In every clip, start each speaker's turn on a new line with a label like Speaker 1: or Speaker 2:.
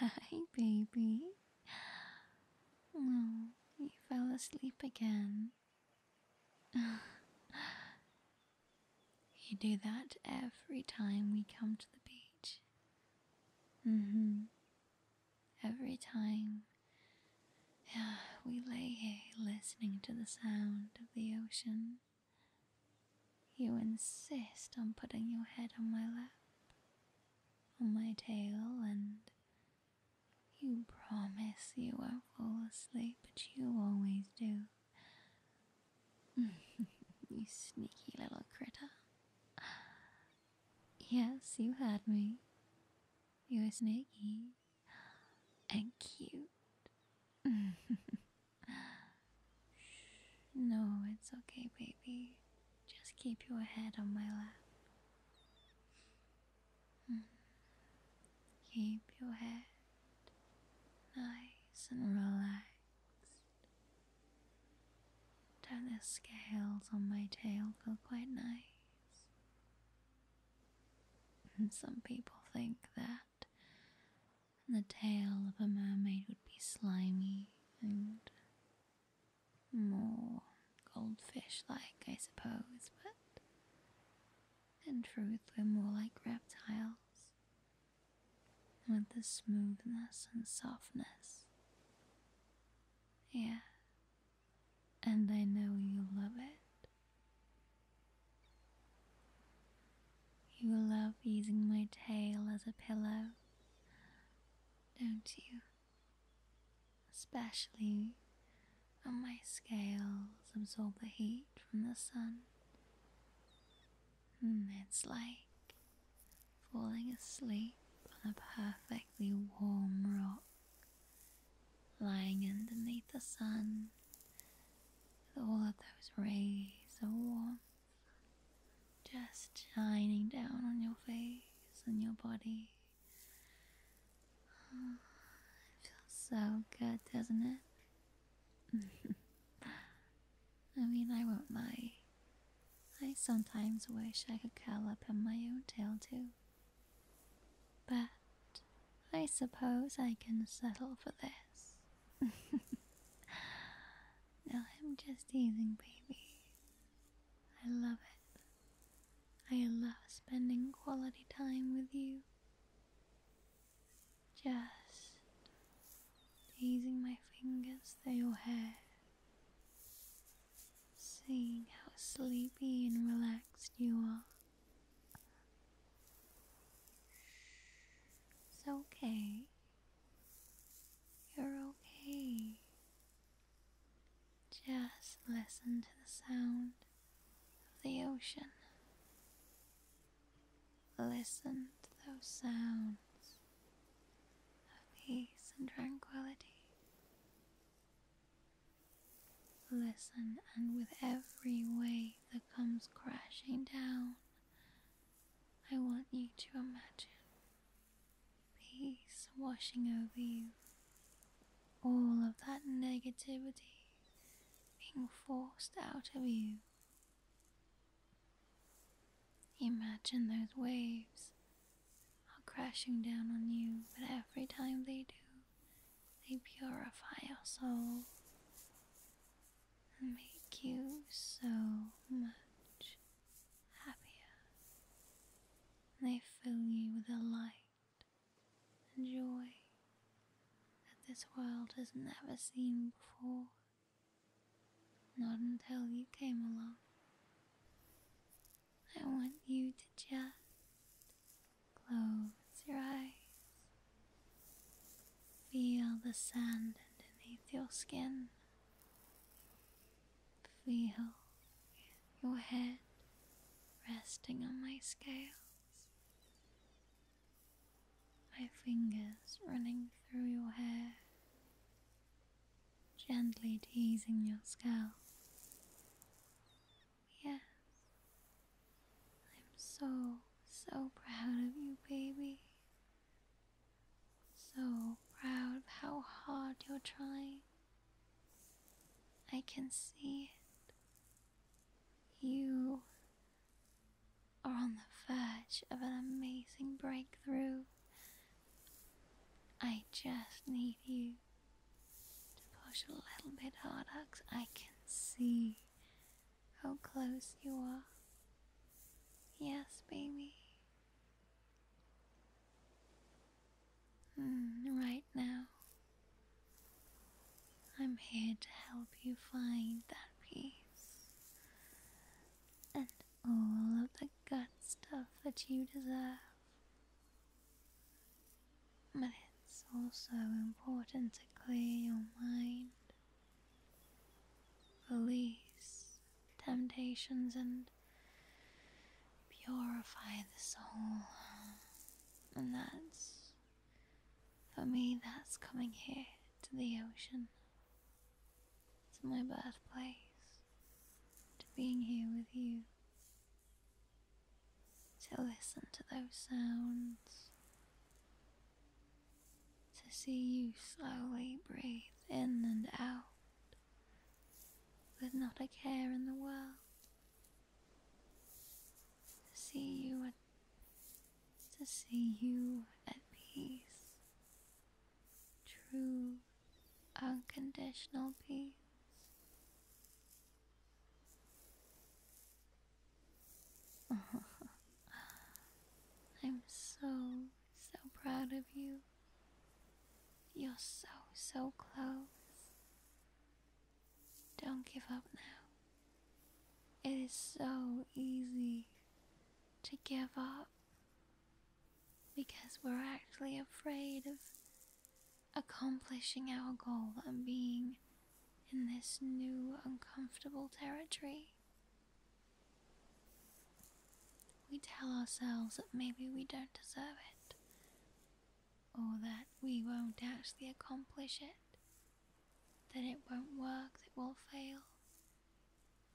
Speaker 1: Hi, baby. oh, you fell asleep again. you do that every time we come to the beach. Mm hmm. Every time we lay here listening to the sound of the ocean, you insist on putting your head on my lap, on my tail, and you promise you won't fall asleep, but you always do. you sneaky little critter. Yes, you had me. You're sneaky and cute. No, it's okay, baby. Just keep your head on my lap. Mm-hmm. Keep your head nice and relaxed. Don't the scales on my tail feel quite nice? And some people think that the tail of a mermaid would be slimy and more goldfish like, I suppose, but in truth, we're more like reptiles. With the smoothness and softness. Yeah, and I know you love it. You love using my tail as a pillow don't you? Especially when my scales absorb the heat from the sun. Mm, it's like falling asleep on a perfectly warm rock, lying underneath the sun with all of those rays of warmth just shining down on your face and your body. feels so good, doesn't it? I mean, I won't lie. I sometimes wish I could curl up in my own tail too. But I suppose I can settle for this. No, I'm just teasing, baby. I love it. I love spending quality time with you. Just teasing my fingers through your hair. Seeing how sleepy and relaxed you are. It's okay. You're okay. Just listen to the sound of the ocean. Listen to those sounds of peace and tranquility. Listen, and with every wave that comes crashing down, I want you to imagine peace washing over you, all of that negativity being forced out of you. Imagine those waves are crashing down on you, but every time they do, they purify your soul and make you so much happier. They fill you with a light and joy that this world has never seen before. Not until you came along. I want you to just close your eyes. Feel the sand underneath your skin Feel your head resting on my scales, my fingers running through your hair, gently teasing your scalp. Yes, I'm so, so proud of you, baby. So proud of how hard you're trying. I can see it. You are on the verge of an amazing breakthrough. I just need you to push a little bit harder because I can see how close you are. Yes, baby. Mm, right now, I'm here to help you find that peace and all of the good stuff that you deserve. But it's also important to clear your mind, release temptations and purify the soul. And that's, for me, that's coming here to the ocean, to my birthplace, to being here with you, to listen to those sounds. To see you slowly breathe in and out with not a care in the world. To see you at to see you at peace. True unconditional peace. I'm so, so proud of you. You're so, so close. Don't give up now. It is so easy to give up because we're actually afraid of accomplishing our goal and being in this new uncomfortable territory. We tell ourselves that maybe we don't deserve it, or that we won't actually accomplish it, that it won't work, that we'll fail.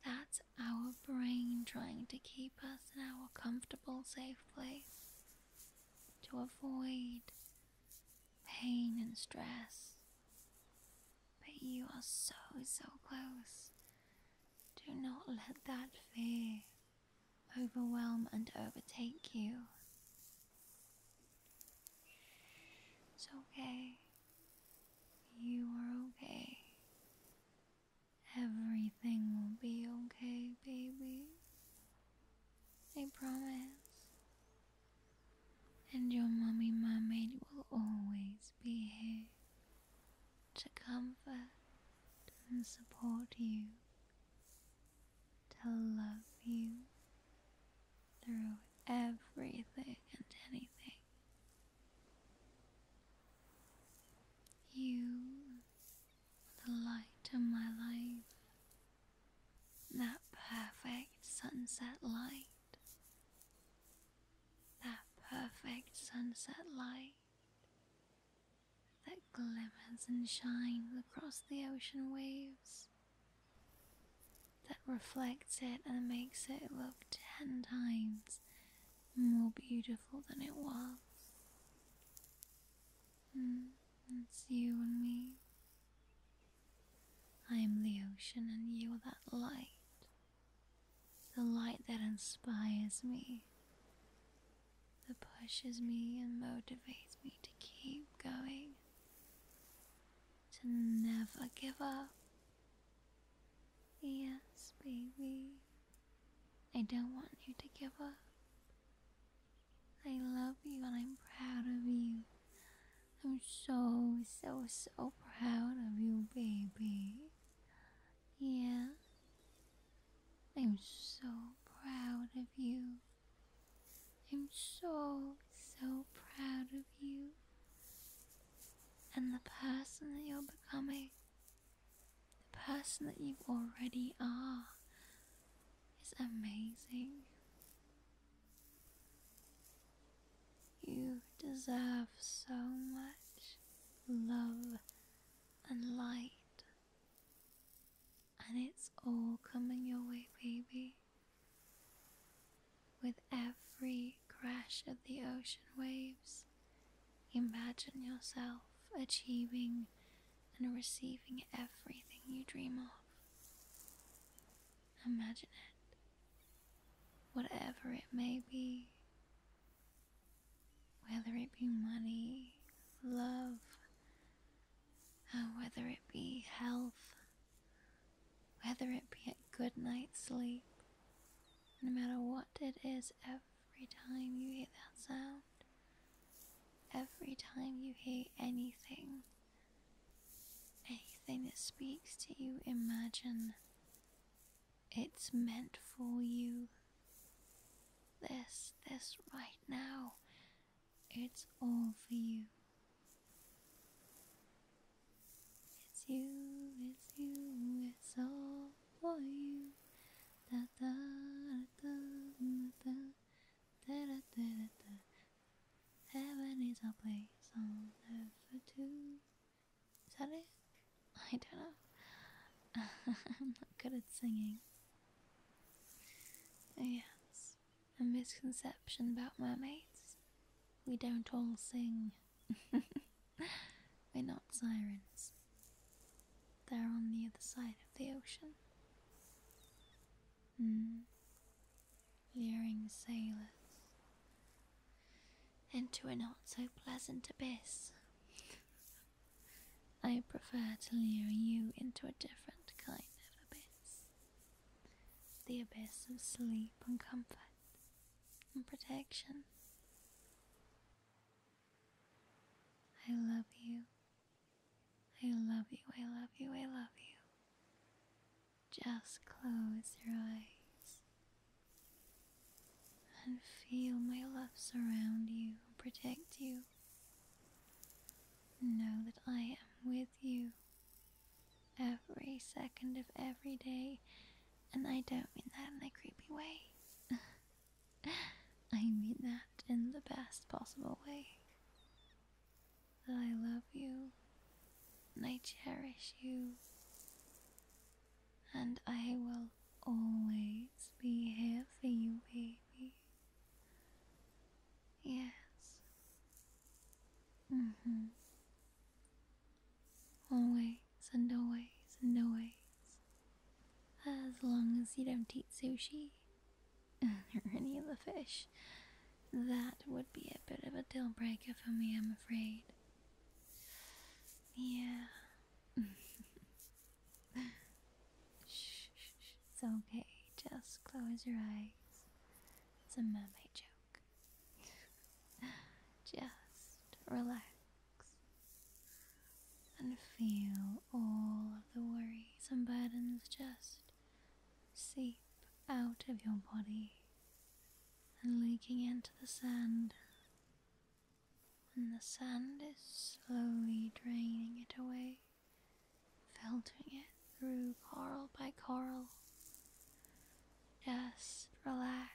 Speaker 1: That's our brain trying to keep us in our comfortable, safe place to avoid pain and stress but you are so, so close. Do not let that fear overwhelm and overtake you. It's okay. You are okay. Everything will be okay, baby. I promise. And your mommy, mermaid will always be here to comfort and support you, to love you through everything and anything. You, the light of my life, that perfect sunset light that perfect sunset light that glimmers and shines across the ocean waves, that reflects it and makes it look ten times more beautiful than it was. it's mm, you and me. I am the ocean, and you are that light the light that inspires me, that pushes me and motivates me to keep going, to never give up. Yes, baby, I don't want you to give up. I love you and I'm proud of you. I'm so, so, so proud of you, baby. Yeah. I'm so proud of you. I'm so, so proud of you. And the person that you're becoming. The person that you already are. Is amazing. You deserve so much love and light. And it's all coming your way, baby. With every crash of the ocean waves, imagine yourself achieving and receiving everything you dream of. Imagine it, whatever it may be whether it be money, love, uh, whether it be health, whether it be a good night's sleep, no matter what it is, every time you hear that sound, every time you hear anything, anything that speaks to you, imagine it's meant for you. This, this right now, it's all for you. It's you, it's you, it's all for you. Heaven is a place on earth for two. Is that it? I don't know. I'm not good at singing. Oh, yes, a misconception about mermaids. We don't all sing. We're not sirens. They're on the other side of the ocean. Mm. Leering sailors into a not so pleasant abyss. I prefer to lure you into a different kind of abyss the abyss of sleep and comfort and protection. I love you. I love you, I love you, I love you. Just close your eyes and feel my love surround you protect you. Know that I am with you every second of every day, and I don't mean that in a creepy way. I mean that in the best possible way. That I love you and I cherish you and I will always be here for you, baby. Yes. Mm hmm. Always and always and always. As long as you don't eat sushi or any of the fish, that would be a bit of a deal breaker for me, I'm afraid. Yeah, It's okay. Just close your eyes. It's a mermaid joke. Just relax and feel all of the worries and burdens just seep out of your body and leaking into the sand and the sand is slowly draining it away, filtering it through coral by coral. Just relax.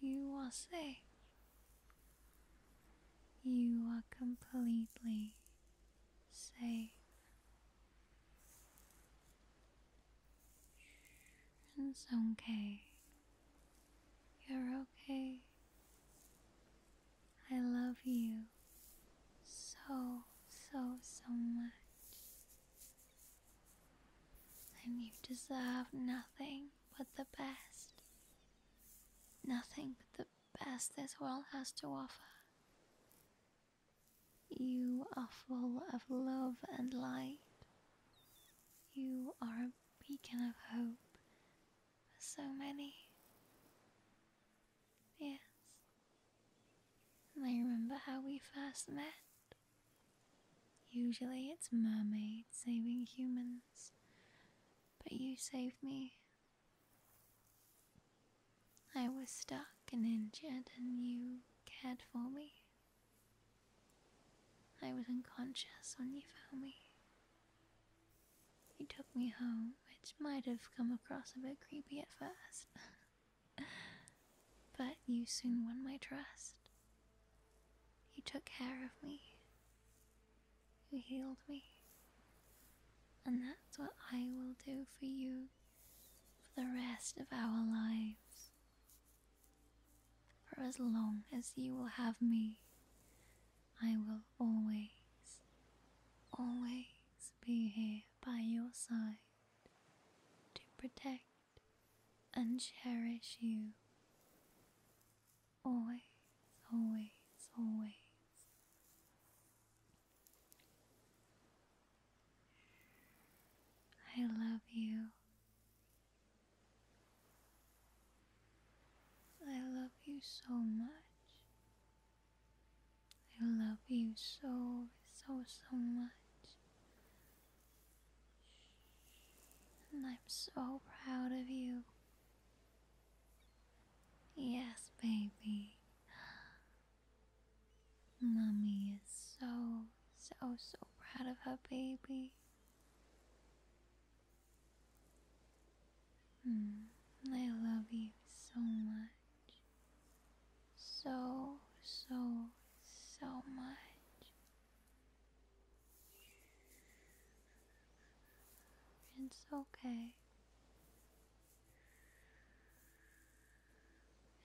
Speaker 1: You are safe. You are completely safe. It's okay. You're okay. I love you so, so, so much. And you deserve nothing but the best. Nothing but the best this world has to offer. You are full of love and light, you are a beacon of hope for so many. Yes. And I remember how we first met. Usually it's mermaids saving humans, but you saved me. I was stuck and injured, and you cared for me. I was unconscious when you found me. You took me home, which might have come across a bit creepy at first. but you soon won my trust. You took care of me. You healed me. And that's what I will do for you for the rest of our lives. For as long as you will have me, I will always, always be here by your side to protect and cherish you. Always, always, always. I love you I love you so much. I love you so, so, so much. And I'm so proud of you. Yes, baby. Mommy is so, so, so proud of her baby. Mm, I love you so much. So, so, so much. It's okay.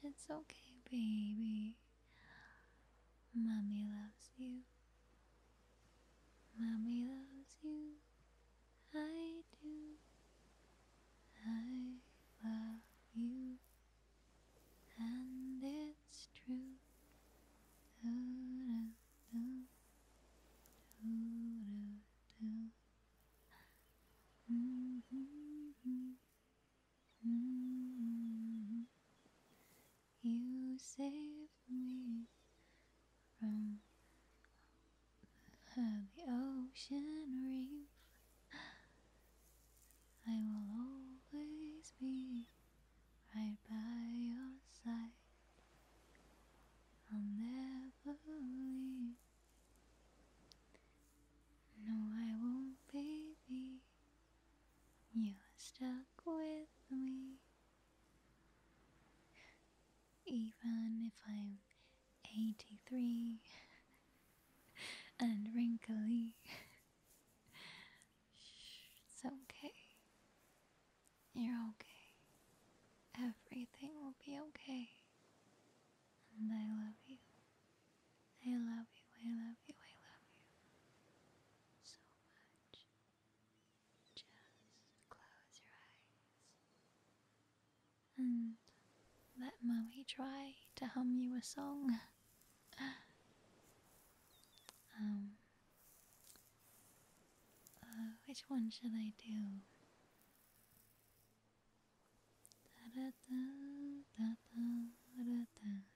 Speaker 1: It's okay, baby. Mummy loves you. Mummy loves you. I do. I love you. And it's true. Do -do -do. Do -do -hmm. Mm-hmm. You saved me from the ocean reef. I will always be right by your side. I'll never leave. No, I won't, baby. You are stuck with me. Even if I'm 83 and wrinkly, it's okay. You're okay. Everything will be okay. And I love you. I love you, I love you, I love you so much. Just close your eyes and let mommy try to hum you a song. um, uh, which one should I do?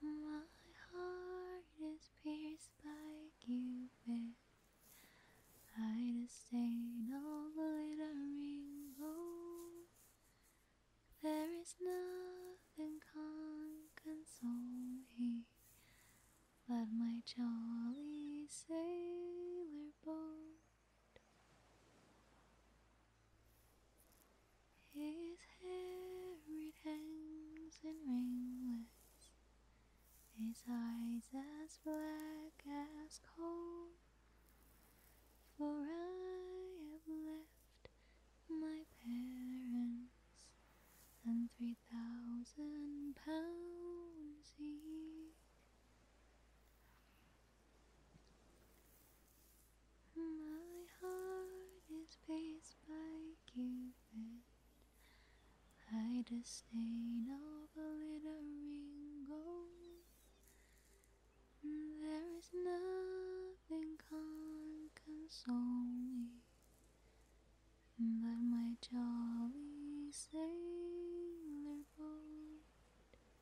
Speaker 1: my heart is pierced by Cupid. I just stain all glittering gold. There is nothing can console me but my jolly sailor boat. His hair it hangs in ringlets, his eyes as black as coal. For I have left my parents and three thousand pounds each. My heart is paced by Cupid. I disdain all the a glittering gold. There is nothing can console me but my jolly sailor boat.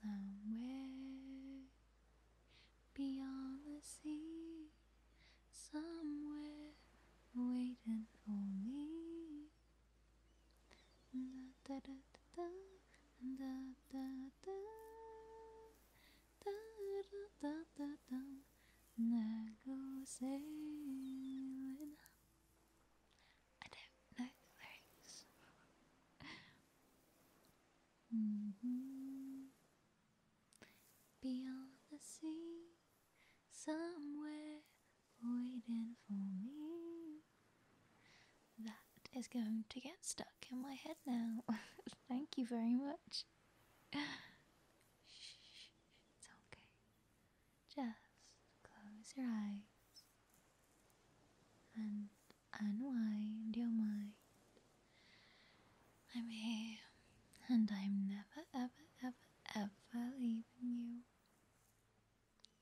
Speaker 1: Somewhere beyond the sea, somewhere waiting for me. And go sailing. I don't know the lyrics. Mm-hmm. Beyond the sea, somewhere waiting for me. That is going to get stuck in my head now. Thank you very much. It's okay. Just close your eyes and unwind your mind. I'm here and I'm never, ever, ever, ever leaving you.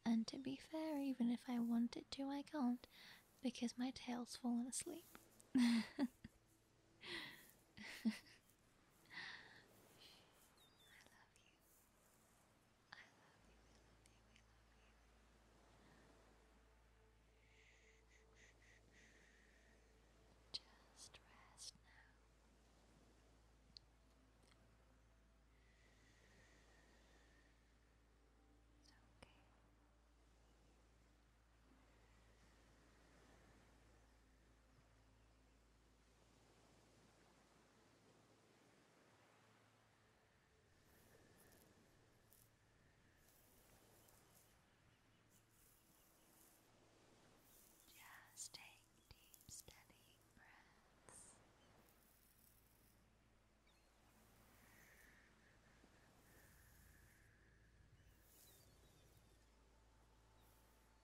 Speaker 1: And to be fair, even if I wanted to, I can't because my tail's fallen asleep. I love you. I love you, we love you, we love you. Just rest now. It's okay. Just take deep, steady breaths.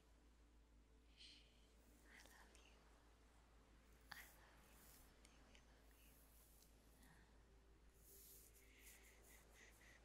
Speaker 1: I love you. I love you. Dearly love you. It's okay.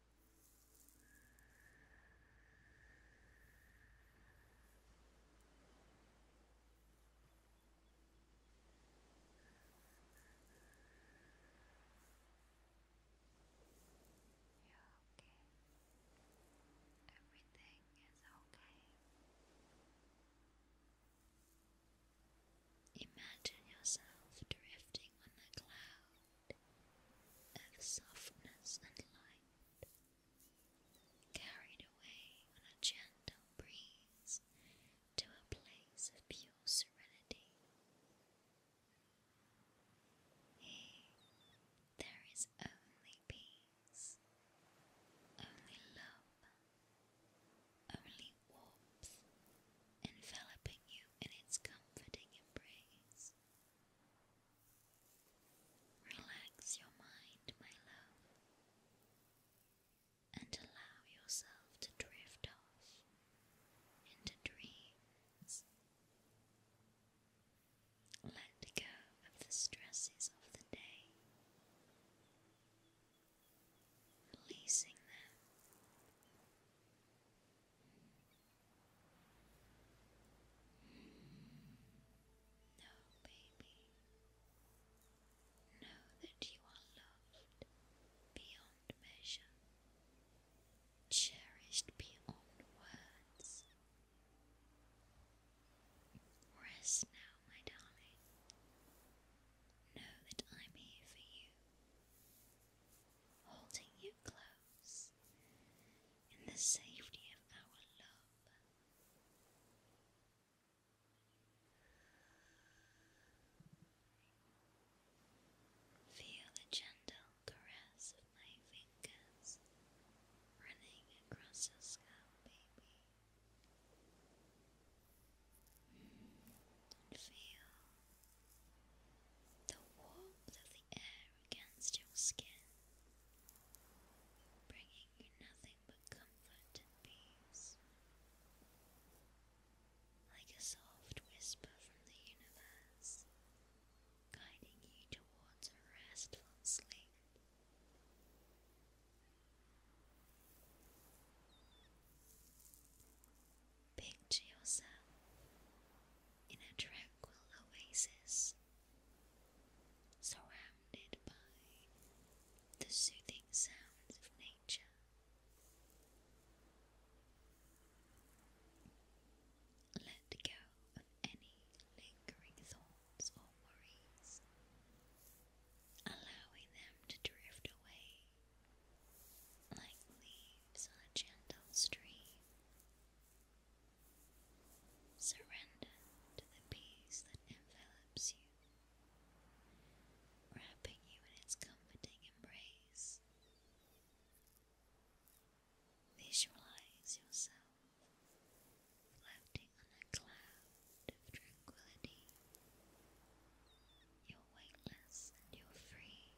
Speaker 1: You're okay. Everything is okay. Imagine yourself drifting on a cloud of softness and light, carried away on a gentle breeze to a place of pure serenity. Here, there is only peace, only love, only warmth, enveloping you in its comforting embrace. Relax your mind, my love, and allow yourself to drift off into dreams. Let go of the stresses of the day, releasing them no, baby. Know that you are loved beyond measure, cherished beyond words. Rest now, my darling. Know that I'm here for you, holding you close in the safety of our love. Feel the gentle caress of my fingers running across your scalp, baby. Mm, feel the warmth of the air against your skin, bringing you nothing but comfort and peace. Like a soft whisper from the universe, guiding you towards a restful sleep. Picture yourself in a tranquil oasis, surrounded by the soothing sounds of nature. Let go of any lingering thoughts or worries, allowing them to drift away like leaves on a gentle stream. Surrender to the peace that envelops you, wrapping you in its comforting embrace. Visualize yourself floating on a cloud of tranquility. You're weightless you're free.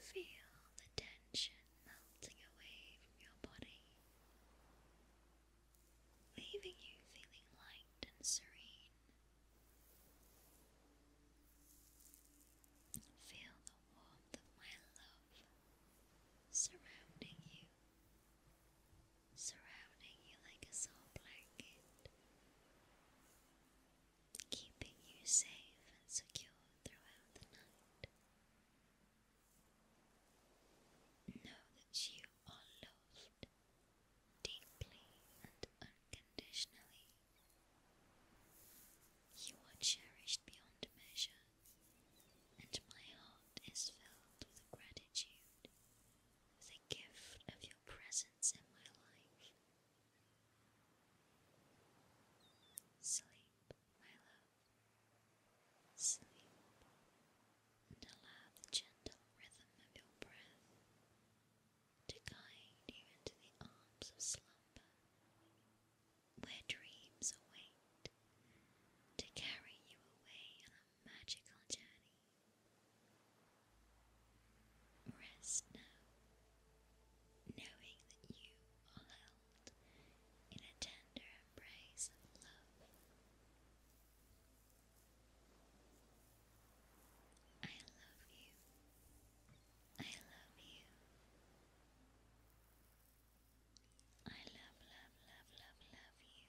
Speaker 1: Feel the tension melting away from your body, leaving you feeling light and serene. Feel the warmth of my love surrounding you, surrounding you like a soft blanket keeping you safe and secure throughout the night. Know that you are loved deeply and unconditionally. You are cherished beyond measure, and my heart is filled with gratitude for the gift of your presence in my life. Sleep, my love. Sleep, and allow the gentle rhythm of your breath to guide you into the arms of slumber, where dreams await to carry you away on a magical journey Rest now, knowing that you are held in a tender embrace of love. I love you. I love you. I love, love, love, love, love you.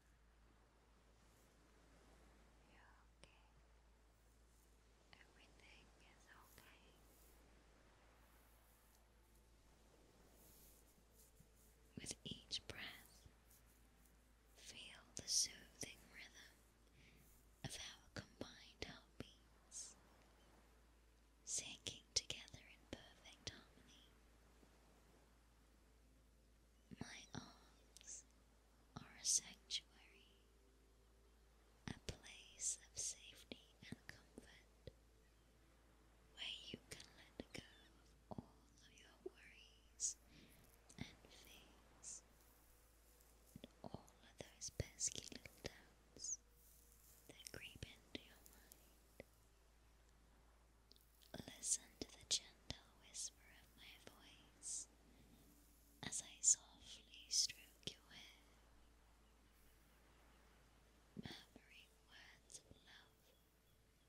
Speaker 1: You're okay. Everything is okay. With each breath, feel the soothing rhythm of our combined heartbeats, sinking together in perfect harmony. My arms or a sanctuary, a place of safety and comfort where you can let go of all of your worries and fears and all of those pesky little doubts that creep into your mind. Listen to the gentle whisper of my voice as I softly stroke your hair, murmuring words of love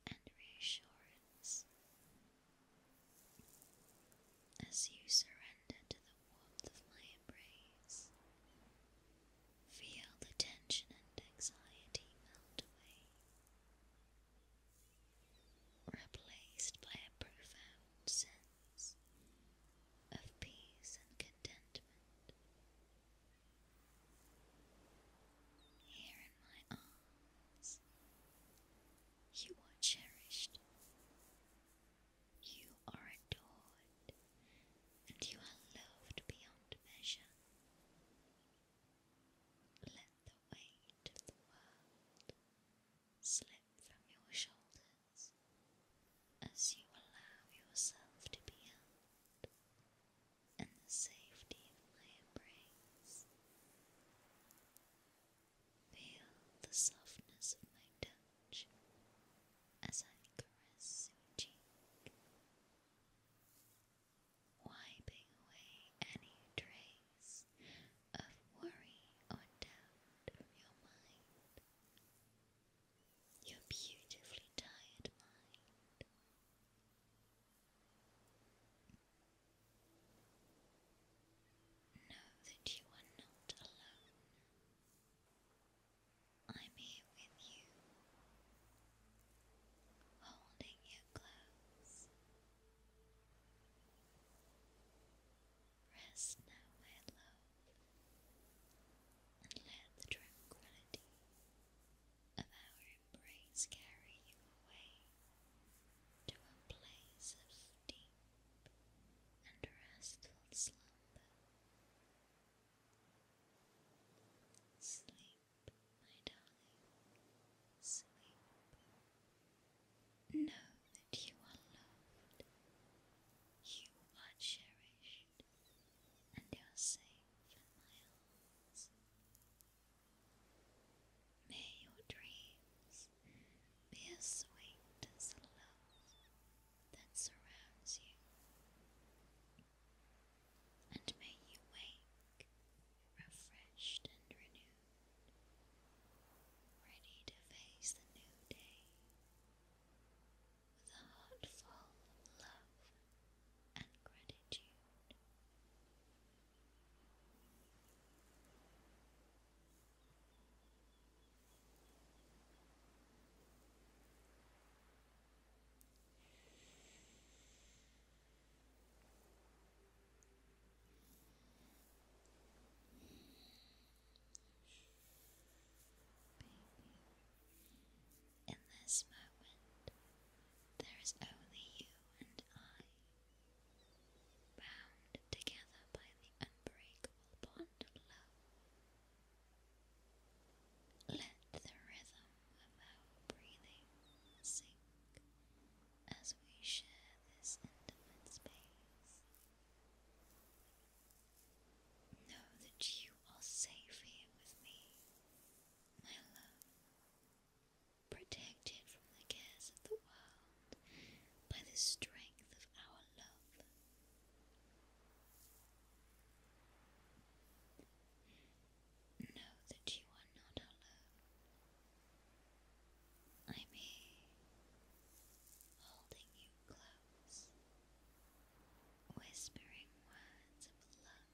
Speaker 1: and reassurance. As you surrender to the warmth of my embrace, feel the tension and anxiety melt away replaced by a profound sense of peace and contentment. Here in my arms, you are cherished, you are adored, and you are loved beyond measure the weight of the world slip from your shoulders as you allow yourself to be held in the safety of my embrace. Feel the softness of my touch as I caress your cheek wiping away any trace of worry or doubt from your mind. Your beautifully tired mind. Know that you are not alone. I'm here with you, holding you close, Rest now, my love, and let the tranquility of our embrace carry you away to a place of deep and restful slumber. Sleep, my darling, sleep. Know that you are loved, you are cherished, and you are safe in my arms. May your dreams be as sweet as the love that surrounds you, and may you wake refreshed and renewed ready to face the new day with a heart full of love and gratitude. In this moment, there is only you and I, bound together by the unbreakable bond of love. Let the rhythm of our breathing sink as we share this intimate space. Know that you are safe here with me, my love, protected from the cares of the world by the strength of our love. Know that you are not alone. I'm here, holding you close, whispering words of love.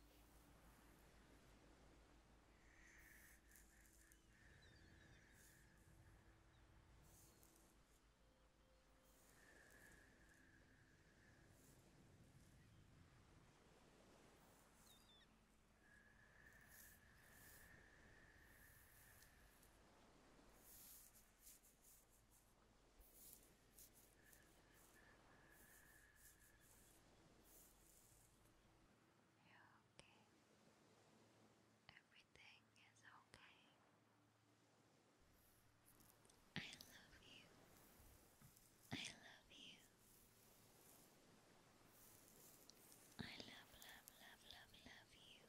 Speaker 1: You're okay. Everything is okay. I love you. I love you. I love, love, love, love, love you.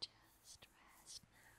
Speaker 1: Just rest now. It's okay.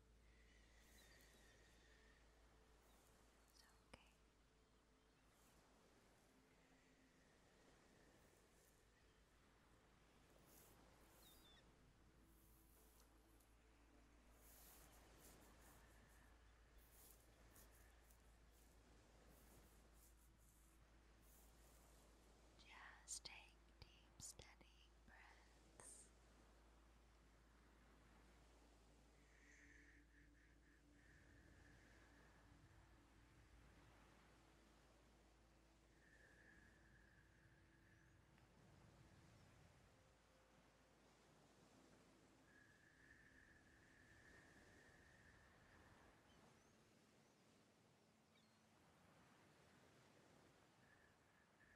Speaker 1: Okay. Just take deep, steady breaths. Good.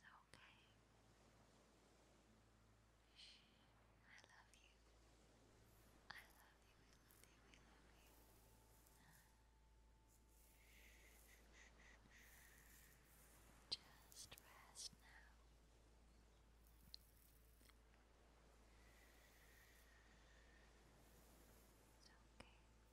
Speaker 1: You're okay. Everything is okay. I love you. I love you, I love you, I love you. Just rest now. It's okay.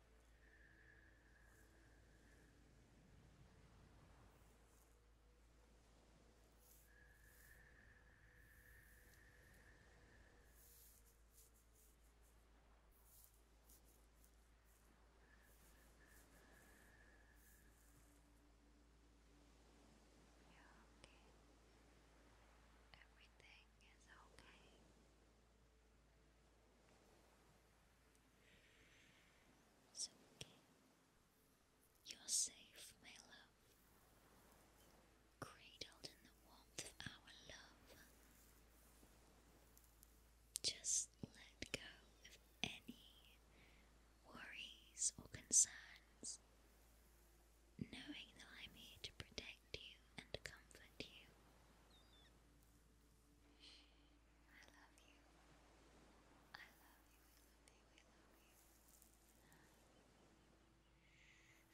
Speaker 1: You're okay. Everything is okay. It's You're safe, my love. Cradled in the warmth of our love. Just let go of any worries or concerns, knowing that I'm here to protect you and comfort you. I love you. I love you. I love you. I love you. It's okay.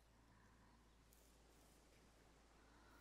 Speaker 1: I love you. I